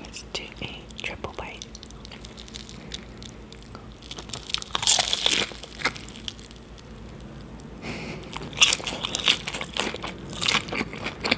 Let's do a triple bite.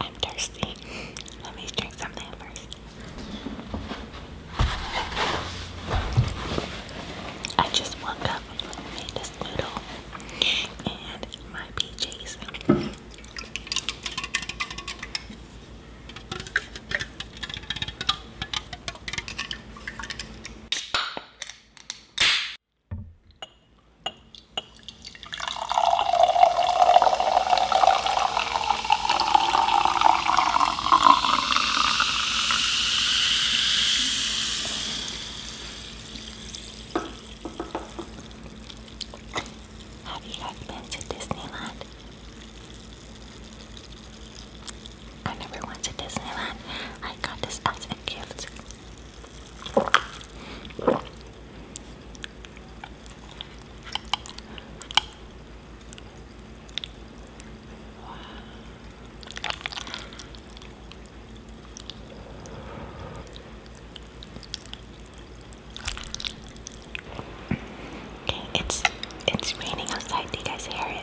I'm thirsty. Let me drink something first. I just woke up and made this and my PJs. Have you guys been to Disneyland? I never went to Disneyland. I got this as a gift it's it's raining outside. Do you guys hear it?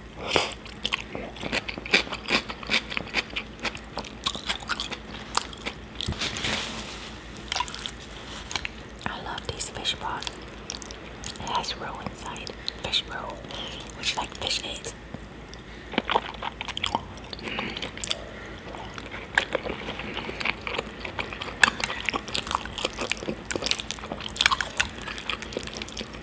I love these fish balls. It has roe inside. Fish roe, which like fish eggs.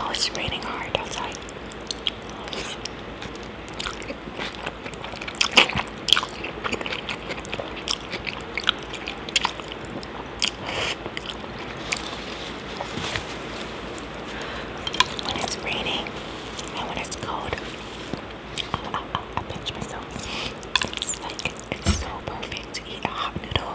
Oh, it's raining hard outside. When it's raining and when it's cold, I, pinch myself. like it's so perfect to eat a hot noodle.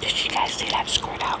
Did you guys see that squirt out?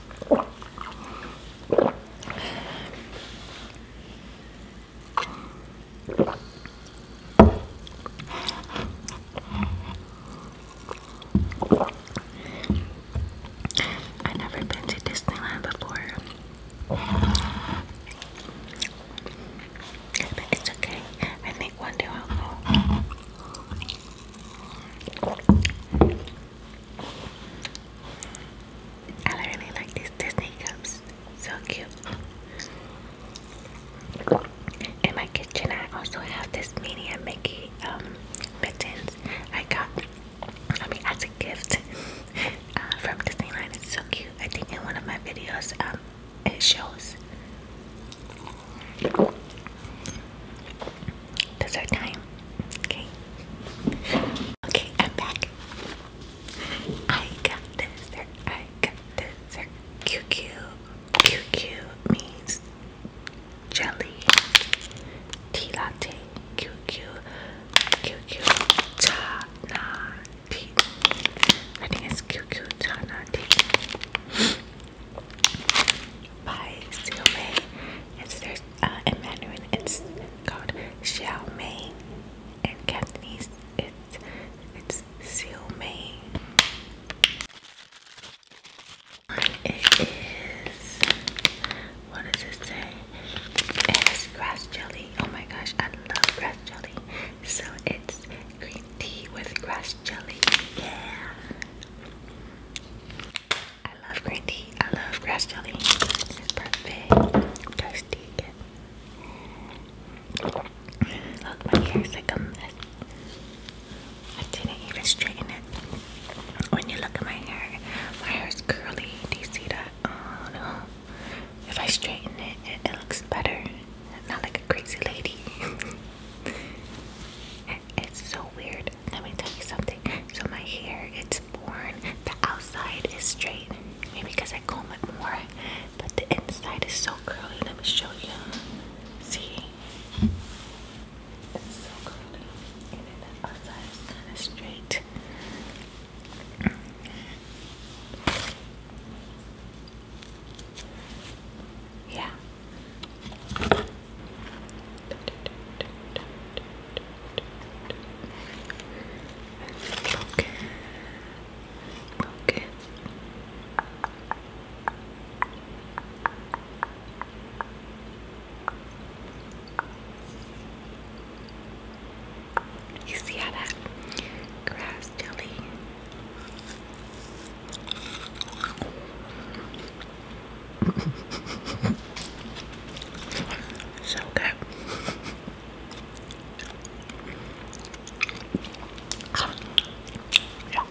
I've never been to Disneyland before. But it's okay. I think one day I'll go. I really like these Disney cups, so cute. In my kitchen, I also have this mini and Mickey um, mittens I got. I mean, as a gift uh, from Disneyland. It's so cute. I think in one of my videos, um, it shows that's our time. Okay. Okay, I'm back. I got dessert. I got dessert. QQ. QQ means jelly. Tea latte. QQ. QQ. Ta na tea. I think it's QQ ta na by Xiaomi. It's there's uh, in Mandarin it's called Xiaomi. In Cantonese it's it's Xiaomi. It is what does it It's grass jelly. Oh my gosh, I love grass jelly. So it's green tea with grass jelly. Yeah. I love green tea. I love grass jelly. It's perfect. Thirsty. Look, my hair is like a I didn't even straighten it. When you look at my hair, my hair is curly. Do you see that? Oh no. If I straighten it, it looks better. Not like a crazy lady. It's so weird. Let me tell you something. So my hair, it's born. The outside is straight. Maybe because I comb it more. But the inside is so curly. Let me show you. See? It's so curly. And then the outside is kind of straight. Yeah. Look Look You see how that grass jelly so good. Yeah.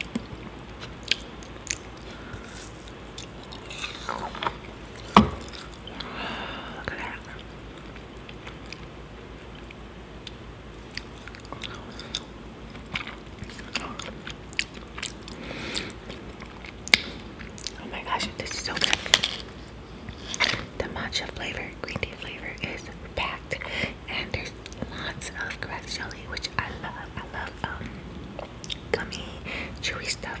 Look at that. Oh my gosh, this is so good. The matcha flavor, green tea flavor is packed, and there's lots of grass jelly, which I love. I love um, gummy, chewy stuff.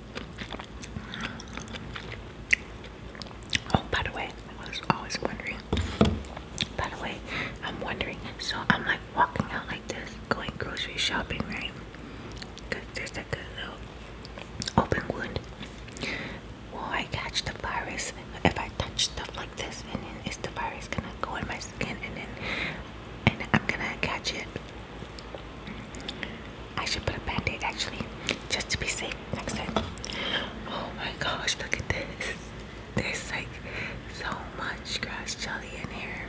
Oh, by the way, I was always wondering. By the way, I'm wondering. So I'm like walking out like this, going grocery shopping, right? Cause there's like a little open wound. Will I catch the virus if I touch stuff like this? And then is the virus gonna go in my skin? And then and I'm gonna catch it. I should put a band-aid actually, just to be safe next time. Oh my gosh, look at this. There's like so much grass jelly in here.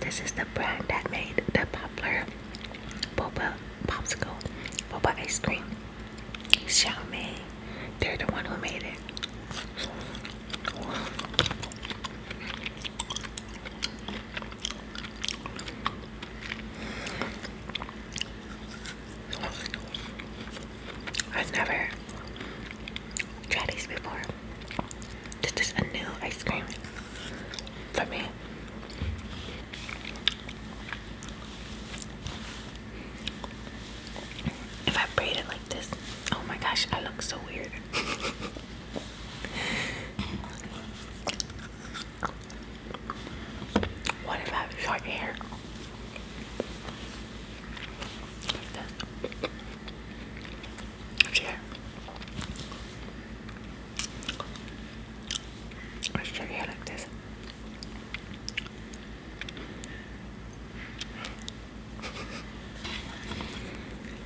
this is the brand that made the popular boba popsicle, boba ice cream. Xiaomi, they're the one who made it. I've never tried these before. This is a new ice cream for me. If I braid it like this, oh my gosh, I look so weird. What if I have short hair? Like short hair. Or short hair like this.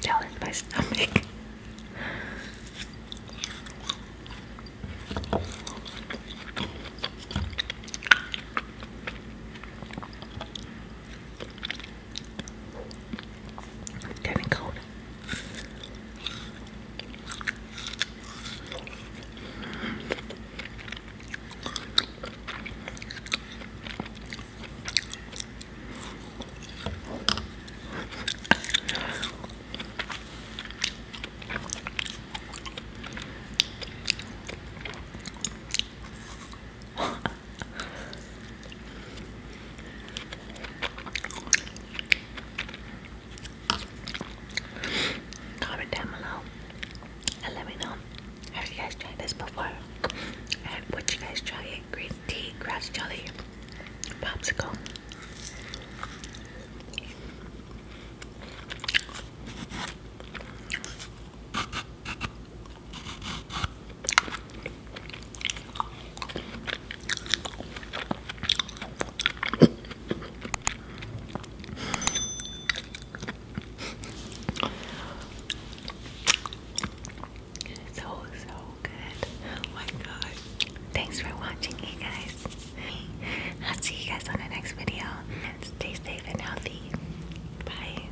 Down my stomach. getting cold. Comment down below and let me know have you guys tried this before? And would you guys try it? Green tea, grass jelly, popsicle so so good. Oh my god. Thanks for watching you guys. I'll see you guys on the next video. And Stay safe and healthy. Bye.